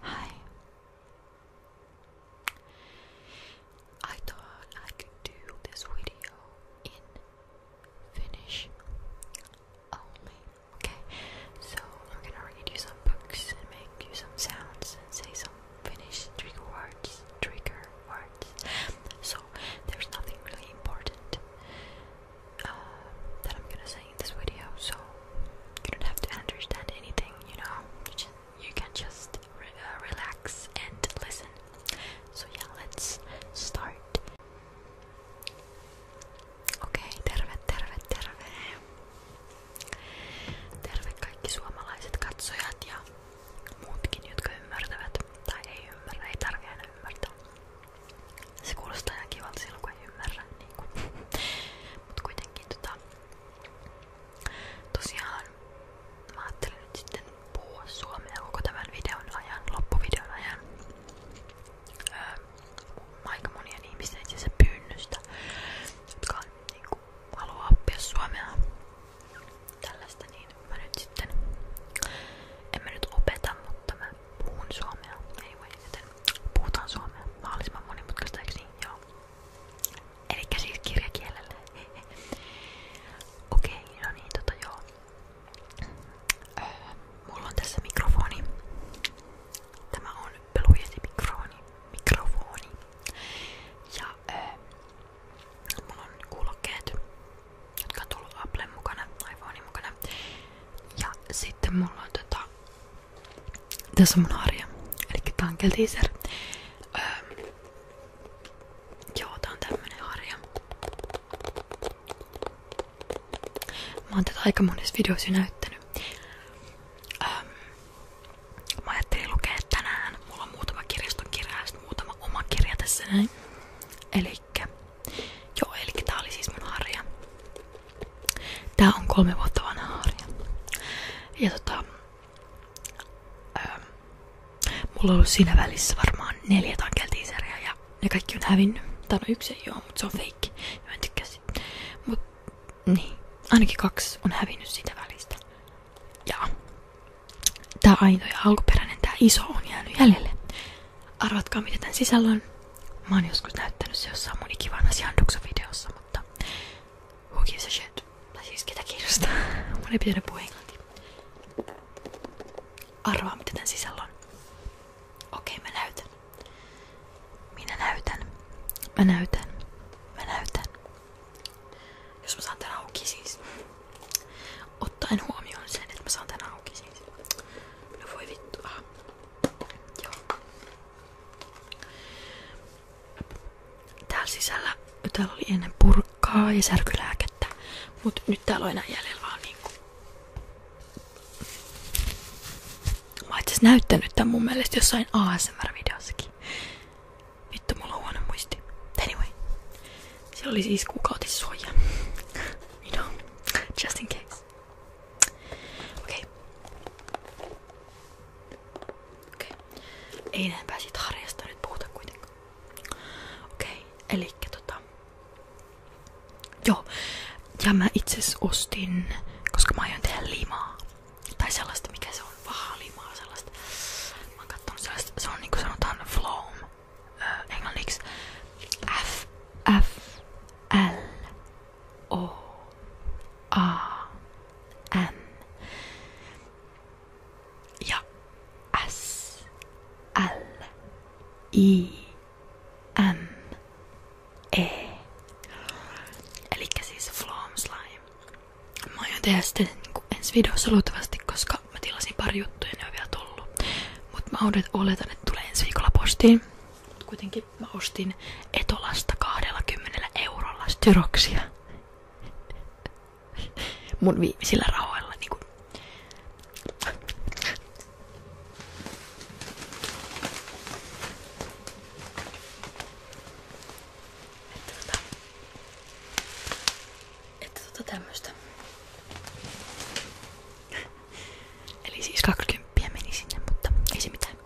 Hi. I thought I could do this video in Finnish only. Okay, so we're gonna read you some books and make you some sounds and say some Finnish trigger words. Trigger words. So there's nothing really important uh, that I'm gonna say in this video, so you don't have to understand anything, you know. You, can just uh, relax and listen. So yeah, let's start. Okei, okay, terve, terve, terve. Terve kaikki suomalaiset katsojat ja muutkin, jotka ymmärtävät. Tai ei ymmärrä, ei tarvitse aina ymmärtää. Se kuulostaa ihan Mut kuitenkin. jotenkin tota... Tosiaan mä ajattelin nyt sitten puhua suomea koko tämän videon ajan, loppuvideon ajan. Öö, aika monien ihmisten itse asiassa pyynnystä, jotka on, niin kuin, haluaa oppia suomea. Tällaista niin mä nyt sitten... En mä nyt opeta, mutta mä puhun suomea. Anyway, joten Puhutaan suomea. Mahdollisimman monimutkaista, eikö niin? Joo. Elikkä siis kirjakielellä. Okei, okay, no niin, tota joo. Öö, mulla on tässä mikrofoni. Tämä on pelujesi mikrofoni. mikrofoni. Ja öö, mulla on kuulokkeet, jotka on tullut Applen mukana, iPhonein mukana. Ja sitten mulla on tota tässä on mun arja. Eli Tankel Teaser. Öö, joo, tää on tämmönen arja. Mä oon tätä aika monessa videossa näyttänyt. Öö, mä ajattelin lukea Mulla on muutama kirjaston kirja muutama oma kirja tässä joo, elikkä tää oli siis Tää on kolme vuotta vanha harja. Ja tota, ää, ähm, mulla on ollut siinä välissä varmaan neljä tankeltiiseriä ja ne kaikki on hävinnyt. Tää on no yksi ei oo, mutta se on feikki. mä en tykkää siitä. Mut niin, ainakin kaksi on hävinnyt siitä välistä. Ja tää aito ja alkuperäinen, tää iso on jäänyt jäljelle. Arvatkaa mitä tän sisällä on. Mä oon joskus näyttänyt se jossain mun ikivanhassa Janduksen-videossa, mutta who gives a shit? Tai siis ketä kiinnostaa? Mun ei pitänyt puhua englantia. Arvaa mitä tän sisällä on. Okei, okay, mä näytän. Minä näytän. Mä näytän. Mä näytän. Jos mä saan tän auki siis. Ottaen huomioon sen, että mä saan tän auki siis. No Joo. Täällä sisällä täällä oli ennen purkkaa ja särkylääkettä, mutta nyt täällä on enää jäljellä niinku- näyttänyt tämän mun mielestä jossain ASMR-videossakin. Vittu, mulla on huono muisti. Anyway. Siellä oli siis kuukautissuoja. you know, just in case. Okei. Okei. Ei enempää siitä harjasta nyt puhuta kuitenkaan. Okei, elikkä tota... Joo. Ja mä itse ostin, koska mä aion tehdä limaa. Tai sellaista, mikä se on, vahaa limaa sellaista. Mä oon kattonut sellaista, se on niinku sanotaan floam. Öö, englanniksi F, F, L, O-A-N. Ja S-L-I-M-E. Eli siis Flom Slime. Mä jo tehdä sitä niinku ensi videossa luultavasti, koska mä tilasin pari juttuja ja ne on vielä tullut. Mut mä oletan, että tulee ensi viikolla postiin. Mut kuitenkin sit mä ostin Etolasta 20 eurolla styroksia. Mun viimeisillä rahoilla niinku. Että tota, että tota tämmöstä. Eli siis 20 meni sinne, mutta ei se mitään.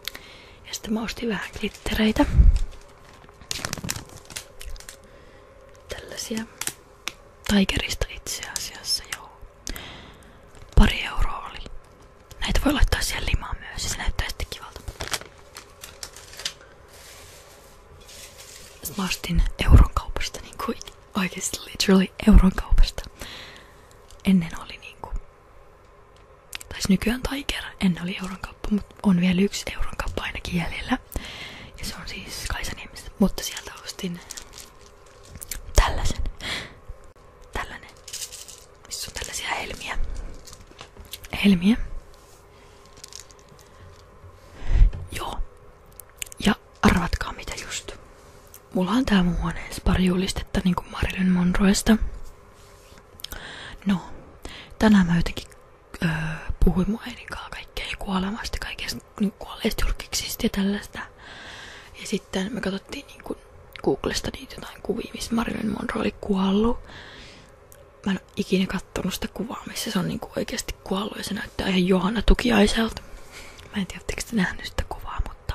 Ja sitten mä ostin vähän glittereitä. Tällaisia. Tigerista itse asiassa, joo. Pari euroa oli. Näitä voi laittaa siihen limaan myös ja se näyttää sitten kivalta. Mä ostin euron kaupasta, niin kuin oikeasti literally euron kaupasta. Ennen oli niinku Taisi nykyään Tiger, ennen oli euron kauppa, mutta on vielä yksi euron kauppa ainakin jäljellä. Ja se on siis Kaisaniemistä, mutta sieltä ostin tällaisen. Tällainen. Missä on tällaisia helmiä. Helmiä. Joo. Ja arvatkaa mitä just. Mulla on tää mun huoneessa pari julistetta niinku Marilyn Monroesta. No, tänään mä jotenkin öö, puhuin mun äidinkaan kaikkea kuolemasta, kaikesta niin kuolleista julkiksista ja tällaista. Ja sitten me katsottiin niinku Googlesta niitä jotain kuvia, missä Marilyn Monroe oli kuollut. Mä en ole ikinä kattonut sitä kuvaa, missä se on niinku oikeasti kuollut ja se näyttää ihan Johanna Tukiaiselta. Mä en tiedä, te nähnyt sitä kuvaa, mutta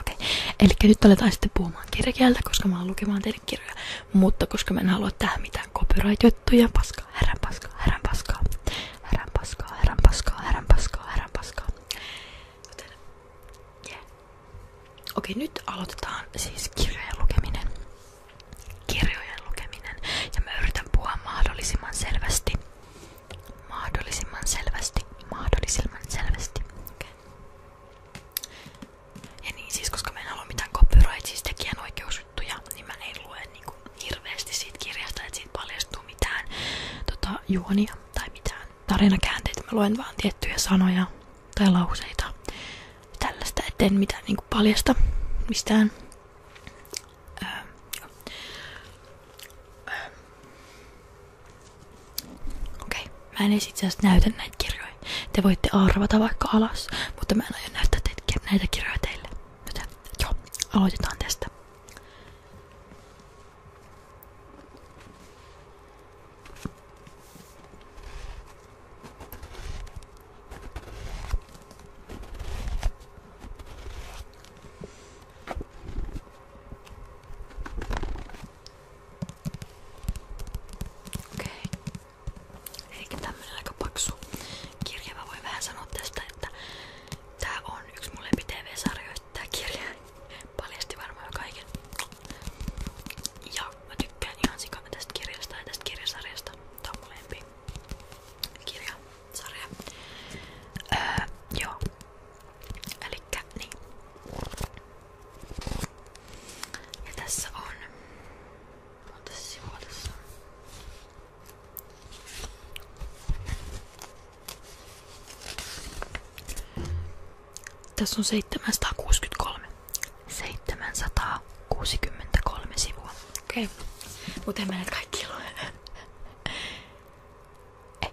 Okei, eli nyt aletaan sitten puhumaan kirjakieltä, koska mä oon lukemaan teille kirjoja, mutta koska mä en halua tähän mitään copyright-juttuja, paskaa, härän paskaa, härän paskaa, härän paskaa, härän paskaa, härän paskaa, Okei, nyt aloitetaan siis kirjojen lukeminen. Kirjojen lukeminen. Ja mä yritän puhua mahdollisimman selvästi mahdollisimman selvästi, mahdollisimman selvästi. Okay. Ja niin siis, koska mä en halua mitään siis niin mä en lue niin mitään tota, juonia tai mitään tarinakäänteitä. Mä luen vaan tiettyjä sanoja tai lauseita tällaista, etten mitään niinku paljasta mistään. öö. öö Okei, okay. mä en itse asiassa näytä näitä kirjoja. Te voitte arvata vaikka alas, mutta mä en aio näyttää teitä, näitä kirjoja teille. Joten joo, aloitetaan tästä. Okei. Eikä tämmönen aika paksu kirja. Mä voin vähän sanoa tästä, että tää on yksi mun lempi-tv-sarjoista tää kirja. Paljasti varmaan kaiken. Ja mä tykkään ihan sikana tästä kirjasta ja tästä kirjasarjasta. Tää on mun lempi kirjasarja. Öö, joo. Elikkä niin. tässä on... tässä on? Tässä on 763. 763 sivua. Okei. Okay. Mutta en mä näitä kaikki lue. Ei.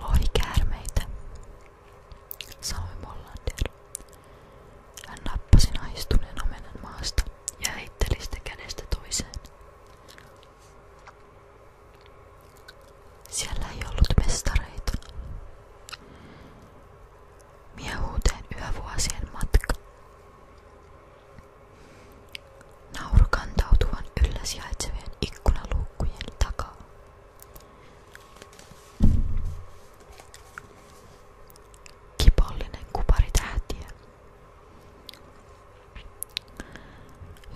Lohikäärmeitä, sanoi Mollander. Hän nappasi naistuneen omenan maasta ja heitteli sitä kädestä toiseen. Siellä ei ollut mestareita. Miehuuteen yövuosien matka. Nauru kantautuvan yllä sijaitsevien ikkunaluukkujen takaa. Kipollinen kupari tähtiä,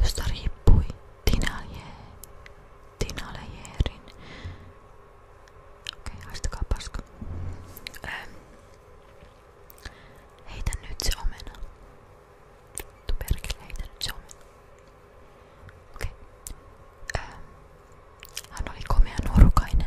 josta riippui Tinalejeerin. Okei, okay, haistakaa paska. Ähm, Heitä nyt se omena. Vittu perkele, heitä nyt se omena. Okei. Okay. Ähm. Hän oli komea nuorukainen.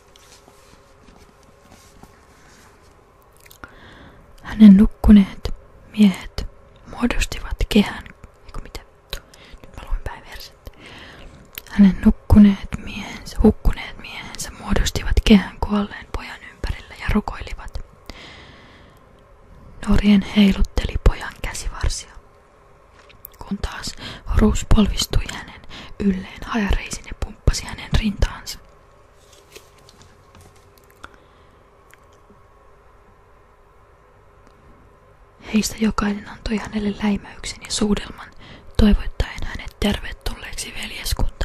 Hänen nukkuneet miehet muodostivat kehän. Eiku mitä? Nyt mä luin päin verset. Hänen nukkuneet miehensä, hukkuneet miehensä muodostivat kehän kuolleen pojan ympärillä ja rukoilivat. Norien heilutteli pojan käsivarsia, kun taas Horus polvistui hänen ylleen hajareisin ja pumppasi hänen rintaansa. Heistä jokainen antoi hänelle läimäyksen ja suudelman, toivottaen hänet tervetulleeksi veljeskuntaan.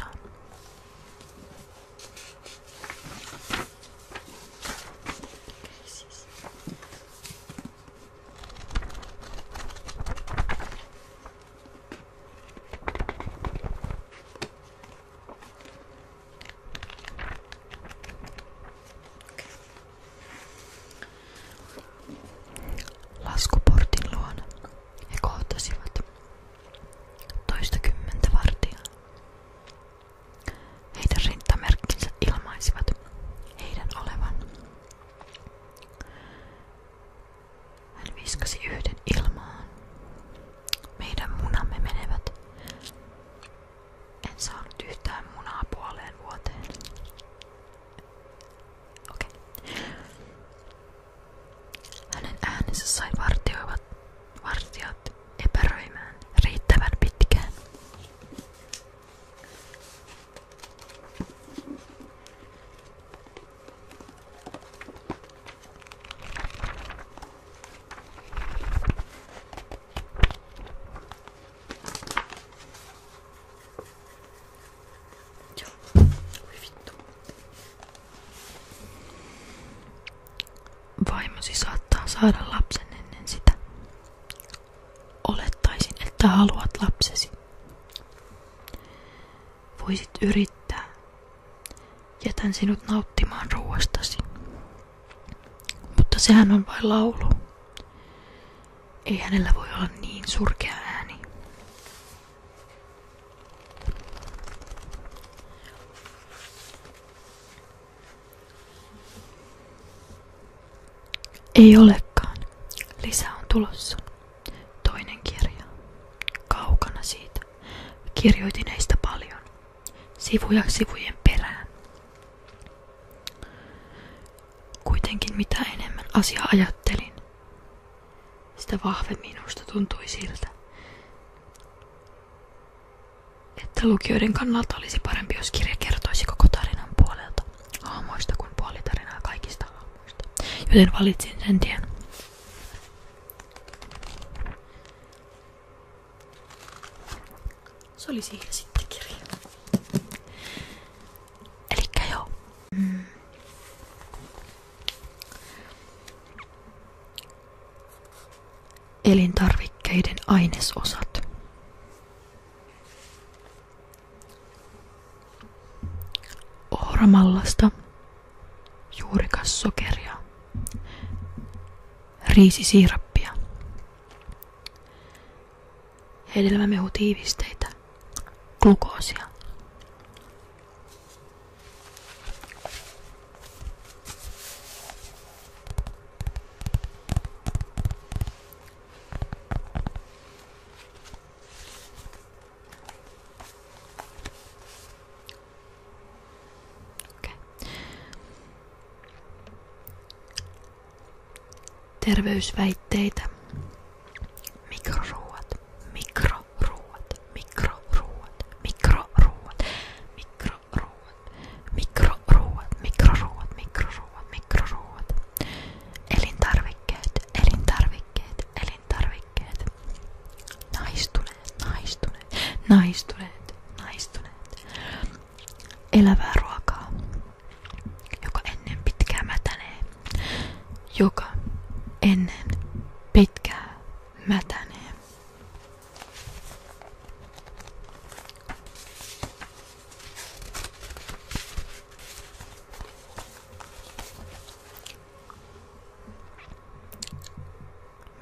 Laskuportin luona he kohtasivat toistakymmentä vartijaa. Heidän rintamerkkinsä ilmaisivat heidän olevan hän viskasi yhden ilmaan. Meidän munamme menevät. En saanut yhtään munaa puoleen vuoteen. Okei. Okay. Hänen äänensä sai vartioivat vartijat epäröimään riittävän pitkään. Tiens, oui vittu. Vaimosi saattaa saada lapsen ennen sitä. Olettaisin, että haluat lapsesi. Voisit yrittää. Jätän sinut nauttimaan ruoastasi. Mutta sehän on vain laulu. Ei hänellä voi olla niin surkea ääni. Ei olekaan. Lisää on tulossa. Toinen kirja. Kaukana siitä. Kirjoitin heistä paljon. Sivuja sivujen perään. Kuitenkin mitä enemmän asia ajattelin, sitä vahvemmin minusta tuntui siltä, että lukijoiden kannalta olisi parempi, jos kirja kertoisi koko tarinan puolelta, aamoista kuin puolitarinaa kaikista muista. Joten valitsin sen tien. Se oli siinä sitten kirja. Elikkä joo. Elintarvikkeiden ainesosat. Ohramallasta juurikassokeria, riisisiirappia, hedelmämehutiivisteitä, glukoosia. Okay. Terveysväitteitä. Mikroruuat, mikroruuat, mikroruuat, mikroruuat, mikroruuat, mikroruuat, mikroruuat, mikroruuat, mikroruuat, Elintarvikkeet, elintarvikkeet, elintarvikkeet. Naistuneet, naistuneet, naistuneet, naistuneet. Elävää ruokaa, joka ennen pitkää mätänee. Joka ennen pitkää mätänee.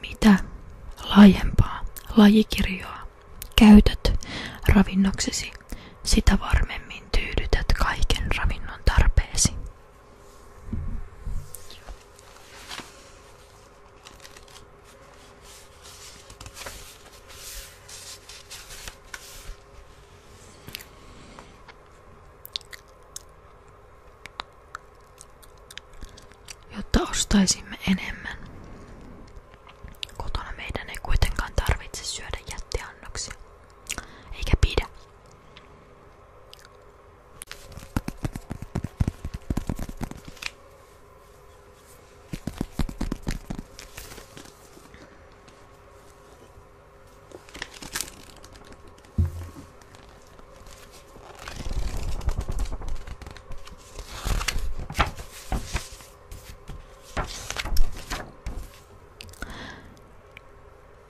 Mitä laajempaa lajikirjoa käytät ravinnoksesi, sitä varmemmin tyydytät kaiken ravinnon tarpeesi jotta ostaisimme enemmän. Kotona meidän ei kuitenkaan tarvitse syödä jättiannoksia, eikä pidä.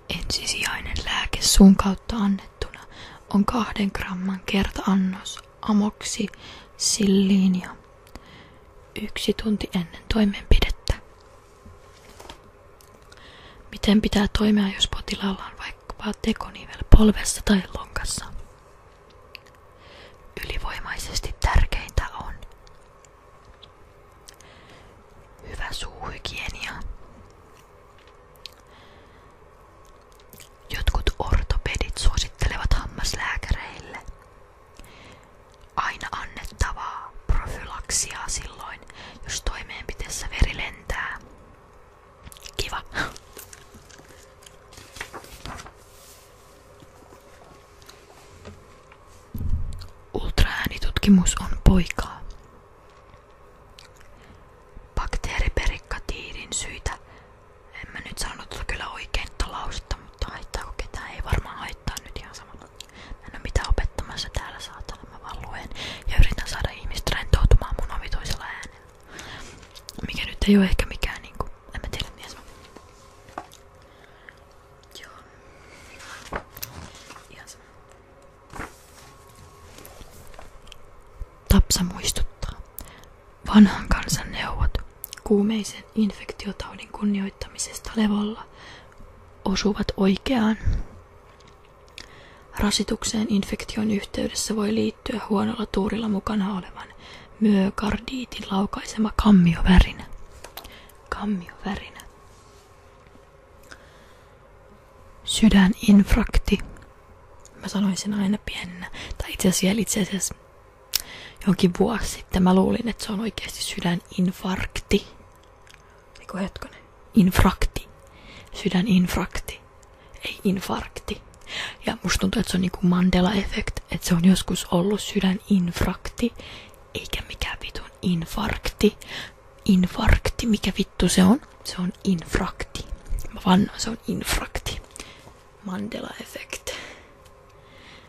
Ensisijainen lääke suun kautta annettuna on kahden gramman kertaannos amoksi silliinia yksi tunti ennen toimenpidettä. Miten pitää toimia, jos potilaalla on vaikkapa tekonivel polvessa tai lonkassa? Ylivoimaisesti tärkeintä on hyvä suuhygienia. Jotkut ortopedit suosittelevat hammaslääkäreille Aina annettavaa profylaksia silloin, jos toimeenpiteessä veri lentää. Kiva. Ultraäänitutkimus on poikaa. Bakteeriperikatiidin syitä. En nyt sanonut kyllä oikein lausetta, mutta haittaako ketään? Ei varmaan haittaa nyt ihan sama. Mä en oo mitään täällä saatana, mä vaan ja yritän saada ihmiset rentoutumaan mun omituisella Mikä nyt ei oo ehkä mikään niinku, en mä tiedä mies. Joo. Yes. Tapsa muistuttaa. Vanhan kansan neuvot kuumeisen infektiotaudin kunnioittamisesta levolla osuvat oikeaan. Rasitukseen infektion yhteydessä voi liittyä huonolla tuurilla mukana olevan myokardiitin laukaisema kammiovärinä. Kammiovärinä. Sydäninfrakti. Mä sanoin sen aina pienenä. Tai itse asiassa, itse asiassa jonkin vuosi sitten mä luulin, että se on oikeasti sydäninfarkti. Eiku hetkonen. Infrakti. Sydäninfrakti. Ei infarkti. Ja musta tuntuu, että se on niinku Mandela-effekt, että se on joskus ollut sydäninfrakti, eikä mikään vitun infarkti. Infarkti, mikä vittu se on? Se on infrakti. Mä vannoin, se on infrakti. Mandela-effekt.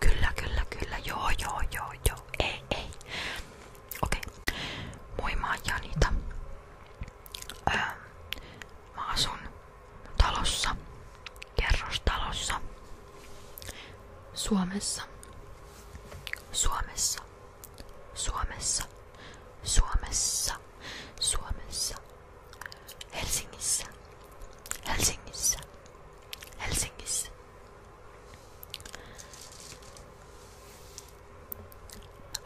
Kyllä, kyllä, kyllä. Joo, joo, joo, joo. Ei, ei. Okei. Okay. Moi, mä ähm, talossa, kerrostalossa, Suomessa, Suomessa, Suomessa, Suomessa, Suomessa, Helsingissä, Helsingissä, Helsingissä.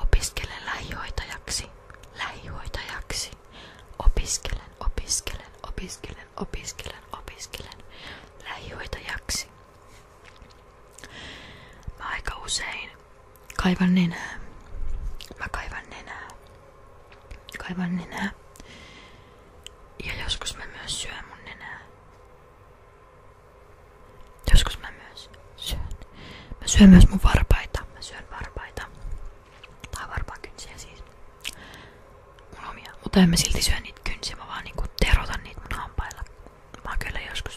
Opiskelen lähihoitajaksi, lähihoitajaksi. Opiskelen, opiskelen, opiskelen, opiskelen, opiskelen lähihoitajaksi. Mä aika usein Kaivan nenää. Mä kaivan nenää. Kaivan nenää. Ja joskus mä myös syön mun nenää. Joskus mä myös syön. Mä syön myös mun varpaita. Mä syön varpaita. Tai siis. Mutta en mä silti syön niitä kynsiä. Mä vaan niinku terotan niitä mun hampailla. Mä kyllä joskus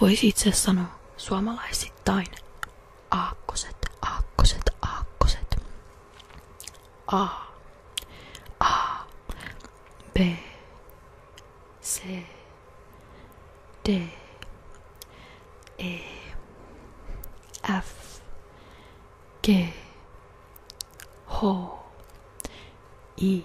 Voisi itse sanoa suomalaisittain aakkoset, aakkoset, aakkoset. A. A. B. C. D. E. F. G. H. I.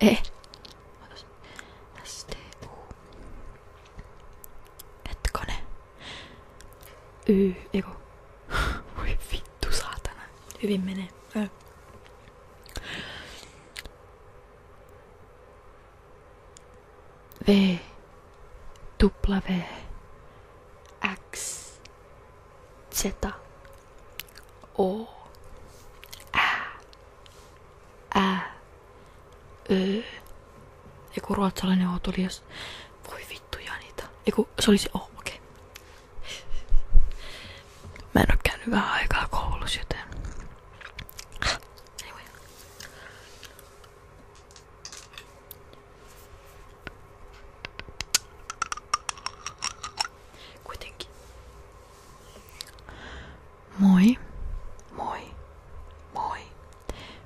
え私 eh. STO Hetkone Y, eiku Voi vittu saatana Hyvin menee Ö. V W X Z O Ä ää, öö, joku ruotsalainen O tuli, jos... Voi vittu Janita. Eiku, se oli se O, okei. Okay. Mä en oo käynyt vähän aikaa koulussa, joten... Kuitenkin. Moi, moi, moi.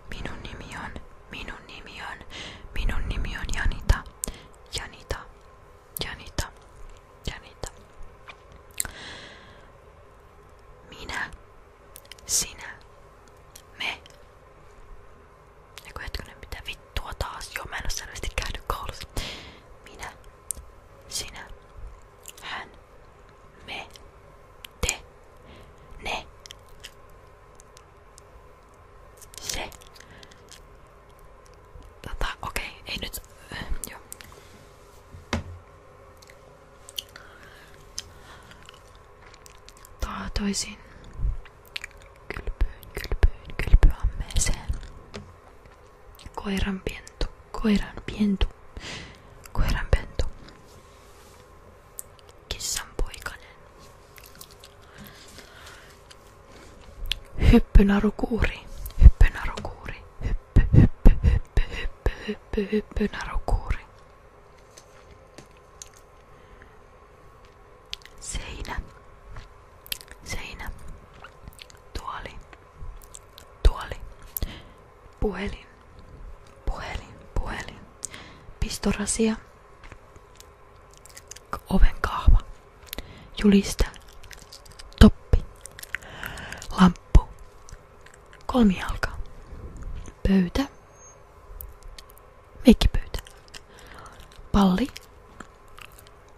Minun nimi on, minun nimi on, minun nimi on Janita, Janita, Janita, Janita. Minä, sinä, me. Eiku hetkinen, mitä vittua taas? Joo, mä en oo selvästi sinä, hän. Me. Te. Ne. Se. Tota, okei, okay, ei nyt... Äh, joo. Taatoisin kylpyyn, Koiran pentu. Koiran pentu. Koiran pentu. Kissan poikanen. Hyppynarukuuri. Hyppynarukuuri. Hyppy, hyppy, hyppy, hyppy, hyppy, hyppynarukuuri. Seinä. Seinä. Tuoli. Tuoli. Puhelin. Puhelin. Puhelin. Pistorasia. Oven kahva. julista Toppi. Lamppu. Kolmijalka. Pöytä. Meikkipöytä. Palli.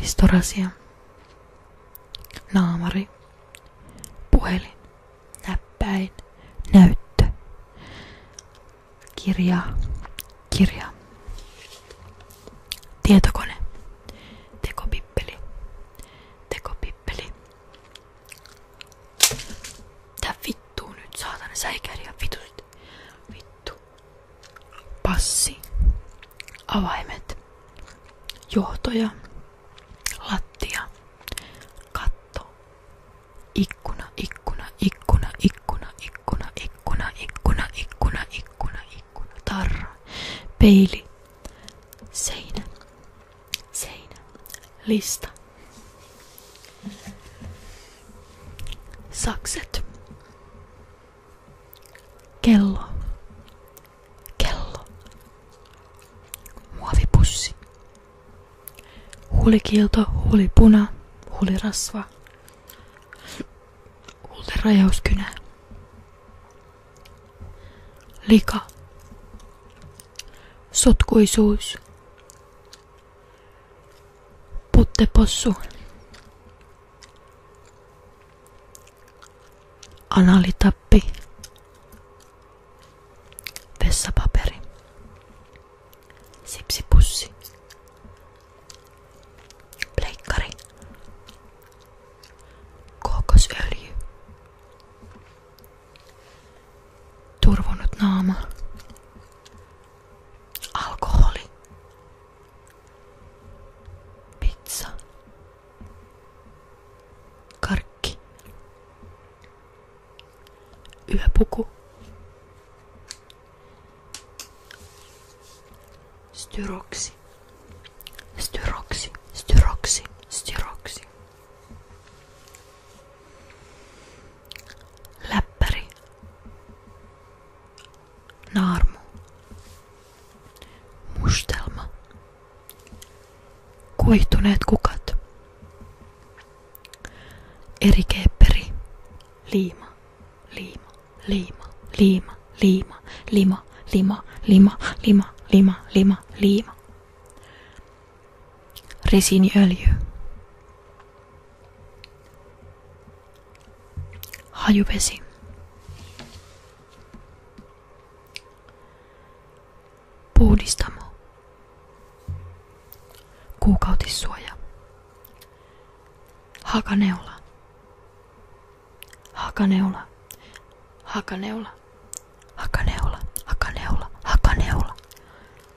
Pistorasia. Naamari. Puhelin. Näppäin. Näyttö. Kirja. Kirja. Tietokone. Tekopippeli. Tekopippeli. Tää vittu. Tuu nyt saatana säikäriä vitut. Vittu. Passi. Avaimet. Johtoja. Lattia. Katto. Ikkuna, ikkuna, ikkuna, ikkuna, ikkuna, ikkuna, ikkuna, ikkuna, ikkuna, ikkuna. Tarra. Peili. Seinä. Seinä. Lista. Sakset. Kello. Kello. Muovipussi. Huulikilto, huulipuna, huulirasva. Huulirajauskynä. Lika. Sotkuisuus. Puttepossu. Analitappi. Vessapaperi. Sipsipussi. Pleikkari. Kookosöljy. Turvonut naama. Alkoholi. Pizza. Karkki. Yöpuku. Styroksi. Styroksi. Styroksi. Styroksi. Läppäri. Naarmu. Mustelma. Kuihtuneet kukat. Erikeepperi. Liima. Liima. Liima. Liima. Liima. Lima. Lima. Lima. Lima. Lima. Lima. lima, Resiniöljy. Hajuvesi. Puhdistamo. Kuukautissuoja. Hakaneula. Hakaneula. Hakaneula. Hakaneula. Hakaneula. Hakaneula.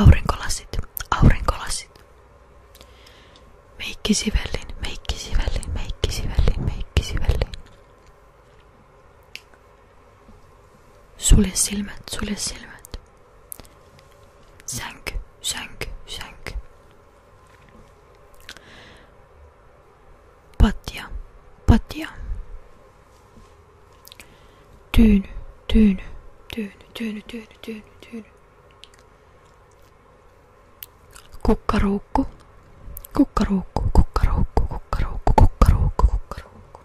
Aurinkolasit, aurinkolasit. meikki sivellin, meikki sivellin, Sulje silmät, sulje silmät. Sänky, sänky, sänky. Patja, patja. Tyyny, tyyny, tyyny, tyyny, tyyny, tyyny, tyyny. Kukkaruukku, kukkaruukku, kukkaruukku, kukkaruukku, kukkaruukku, kukkaruukku.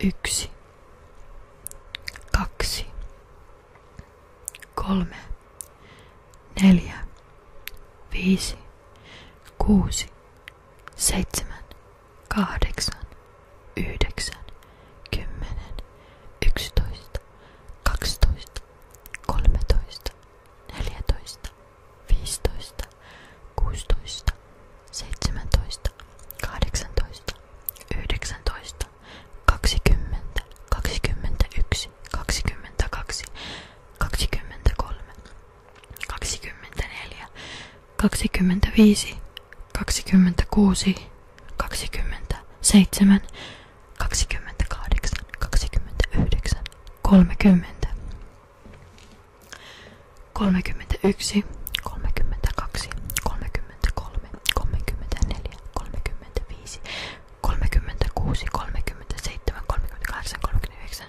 Yksi, kaksi, kolme, neljä, viisi, kuusi, seitsemän, kahdeksan, yhdeksän, kymmenen, yksitoista, kaksitoista, kolmetoista, neljätoista, viisitoista, kuusitoista, seitsemäntoista, kahdeksantoista, yhdeksäntoista, kaksikymmentä, kaksikymmentäyksi, kaksikymmentäkaksi, kaksikymmentäkolme, kaksikymmentäneljä, kaksikymmentäviisi, kaksikymmentäkuusi, kaksikymmentäseitsemän, kaksikymmentäkahdeksan, kaksikymmentäyhdeksän, kolmekymmentä, kolmekymmentäyksi, kolmekymmentäkaksi, kolmekymmentäkolme, kolmekymmentäneljä, kolmekymmentäviisi, kolmekymmentäkuusi, kolmekymmentäseitsemän, kolmekymmentäkahdeksan, kolmekymmentäyhdeksän,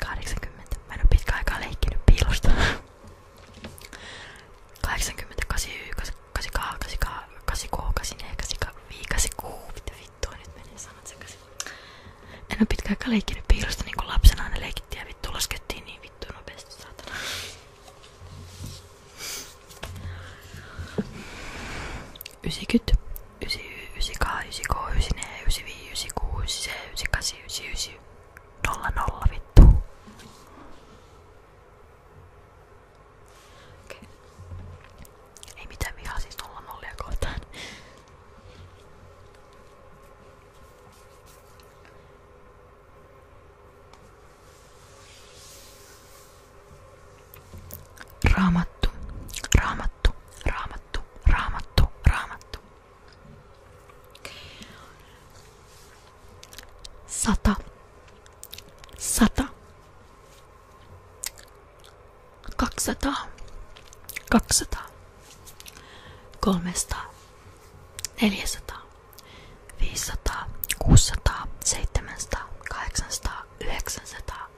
80. Mä en oo pitkään aikaa leikkinyt piilosta. 80, 89, 88, 89, 84, 85, 86. Mitä vittua nyt menee sanat sekaisin. En oo pitkään aikaa leikkinyt piilosta niinku lapsena aina leikittiin ja vittu laskettiin niin vittu nopeasti saatana. Ysikyt, ysi ysi ka ysi ko ysi ne ysi vii ysi ku ysi se ysi kasi ysi ysi nolla nolla vittu. Ei mitään vihaa siis nolla nollia kohtaan. Raamattu, raamattu, raamattu, raamattu, raamattu, raamattu. Sata, sata, kaksisataa, kaksisataa, kolmesataa, neljäsataa, viisisataa, kuusisataa, seitsemänsataa, kahdeksansataa, yhdeksänsataa,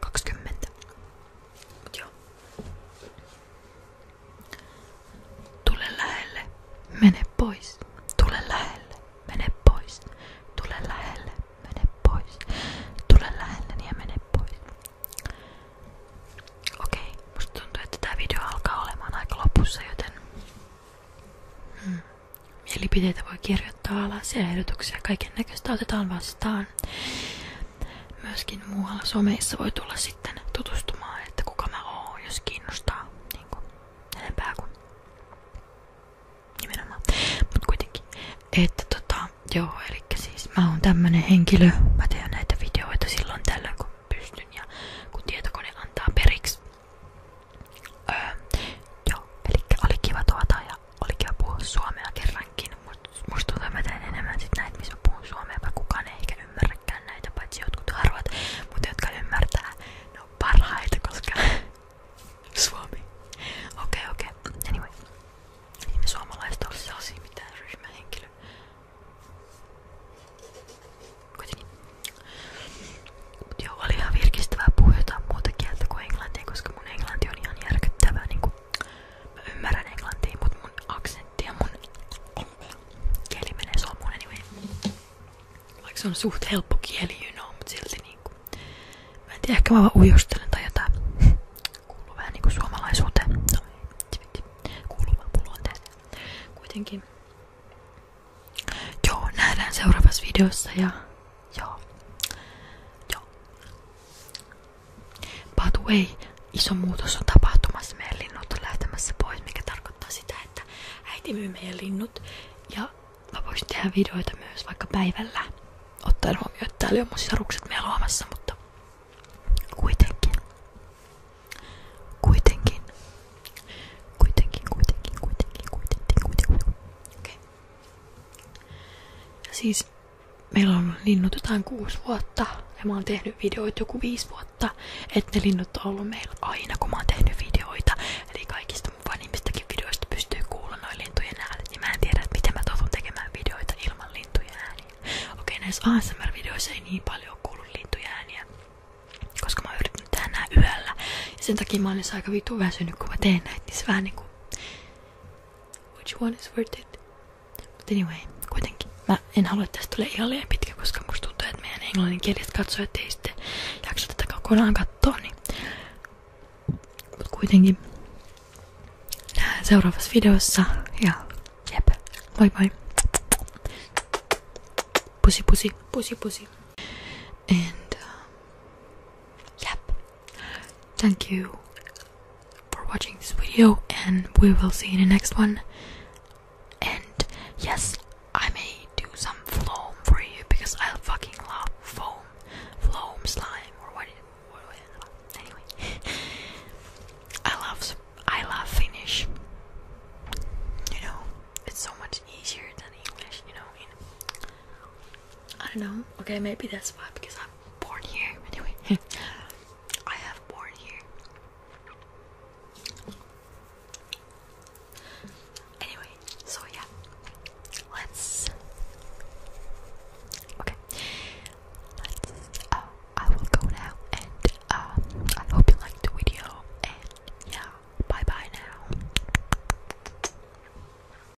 kaksikymmentä, Mut joo. Tule pois. Tule lähelle, mene pois. Tule lähelle, mene pois. Tule lähelle ja mene pois. Okei, musta tuntuu, video alkaa olemaan aika joten... Hmm. Mielipiteitä voi kirjoittaa kirjoittaa alas ja ehdotuksia. Kaiken näköistä otetaan vastaan. Myöskin muualla someissa voi tulla sitten tutustumaan, että kuka mä oon, jos kiinnostaa. Niin kuin enempää kuin nimenomaan. Mut kuitenkin. Että tota, joo, eli siis mä oon tämmönen henkilö. Mä teen näitä videoita silloin tällä kun pystyn ja kun tietokone antaa periksi. Öö, joo, eli oli kiva tuota ja oli kiva puhua suomea kerrankin, mutta musta tuntuu, mä teen enemmän sit näitä, missä mä puhun suomea, vaikka kukaan ei ehkä ymmärräkään näitä, paitsi jotkut harvat, mutta jotka ymmärtää, ne on parhaita, koska suomi. Okei, okay, okei. Okay. Anyway. Ei niin me suomalaiset ole sellaisia mitään ryhmähenkilö. Kuitenkin. Mut joo, oli ihan virkistävää puhua jotain muuta kieltä kuin englantia, koska mun englanti on ihan järkyttävää. Niinku Mä ymmärrän englantia, mut mun aksentti ja mun kieli menee suomuun anyway. Vaikka se on suht helppo kieli, you know, mut silti niinku. Mä en tiedä, ehkä mä vaan ujostelen tai jotain. Kuuluu vähän niinku suomalaisuuteen. No, kuuluu vaan luonteeseen. Kuitenkin. Joo, nähdään seuraavassa videossa ja joo. By the way, iso muutos on tapahtumassa. Meidän linnut on lähtemässä pois, mikä tarkoittaa sitä, että äiti myy meidän Ja voisin tehdä videoita myös vaikka päivällä. Ottaen huomioon, että täällä on mun sisarukset meillä luomassa, mutta kuitenkin. Kuitenkin. Kuitenkin, kuitenkin, kuitenkin, kuitenkin, kuitenkin. Okei. Okay. Ja siis meillä on linnut jotain kuusi vuotta ja mä oon tehnyt videoita joku viisi vuotta, että ne linnut on ollut meillä aina kun mä oon tehnyt videoita. Eli kaikista mun vanhimmistakin videoista pystyy kuulla noin lintujen äänet. Ja mä en tiedä, että miten mä toivon tekemään videoita ilman lintujen ääniä. Okei, näissä ASMR-videoissa ei niin paljon kuulu lintujen ääniä, koska mä oon yrittänyt tehdä nää yöllä. Ja sen takia mä olin aika vitu väsynyt, kun mä teen näitä, niin se vähän niinku Which one is worth it? But anyway, kuitenkin. Mä en halua, että tästä tulee ihan liian pitkä, koska musta tuntuu, että meidän englanninkieliset katsojat ei sitten jaksa tätä kokonaan katsoa, niin... Mut kuitenkin. Nähdään seuraavassa videossa ja jep, moi moi. Pussy, pussy, pussy, pussy. And um, Thank you for watching this video, and we will see you in the next one. And yes, I may do some foam for you because I fucking love foam, foam slime, or what? anyway, I love I love Finnish. You know, it's so much easier than English. You know. I don't know. Okay, maybe that's why because I'm born here. Anyway, I have born here. Anyway, so yeah, let's. Okay, let's. Oh, I will go now, and um, I hope you liked the video. And yeah, bye bye now.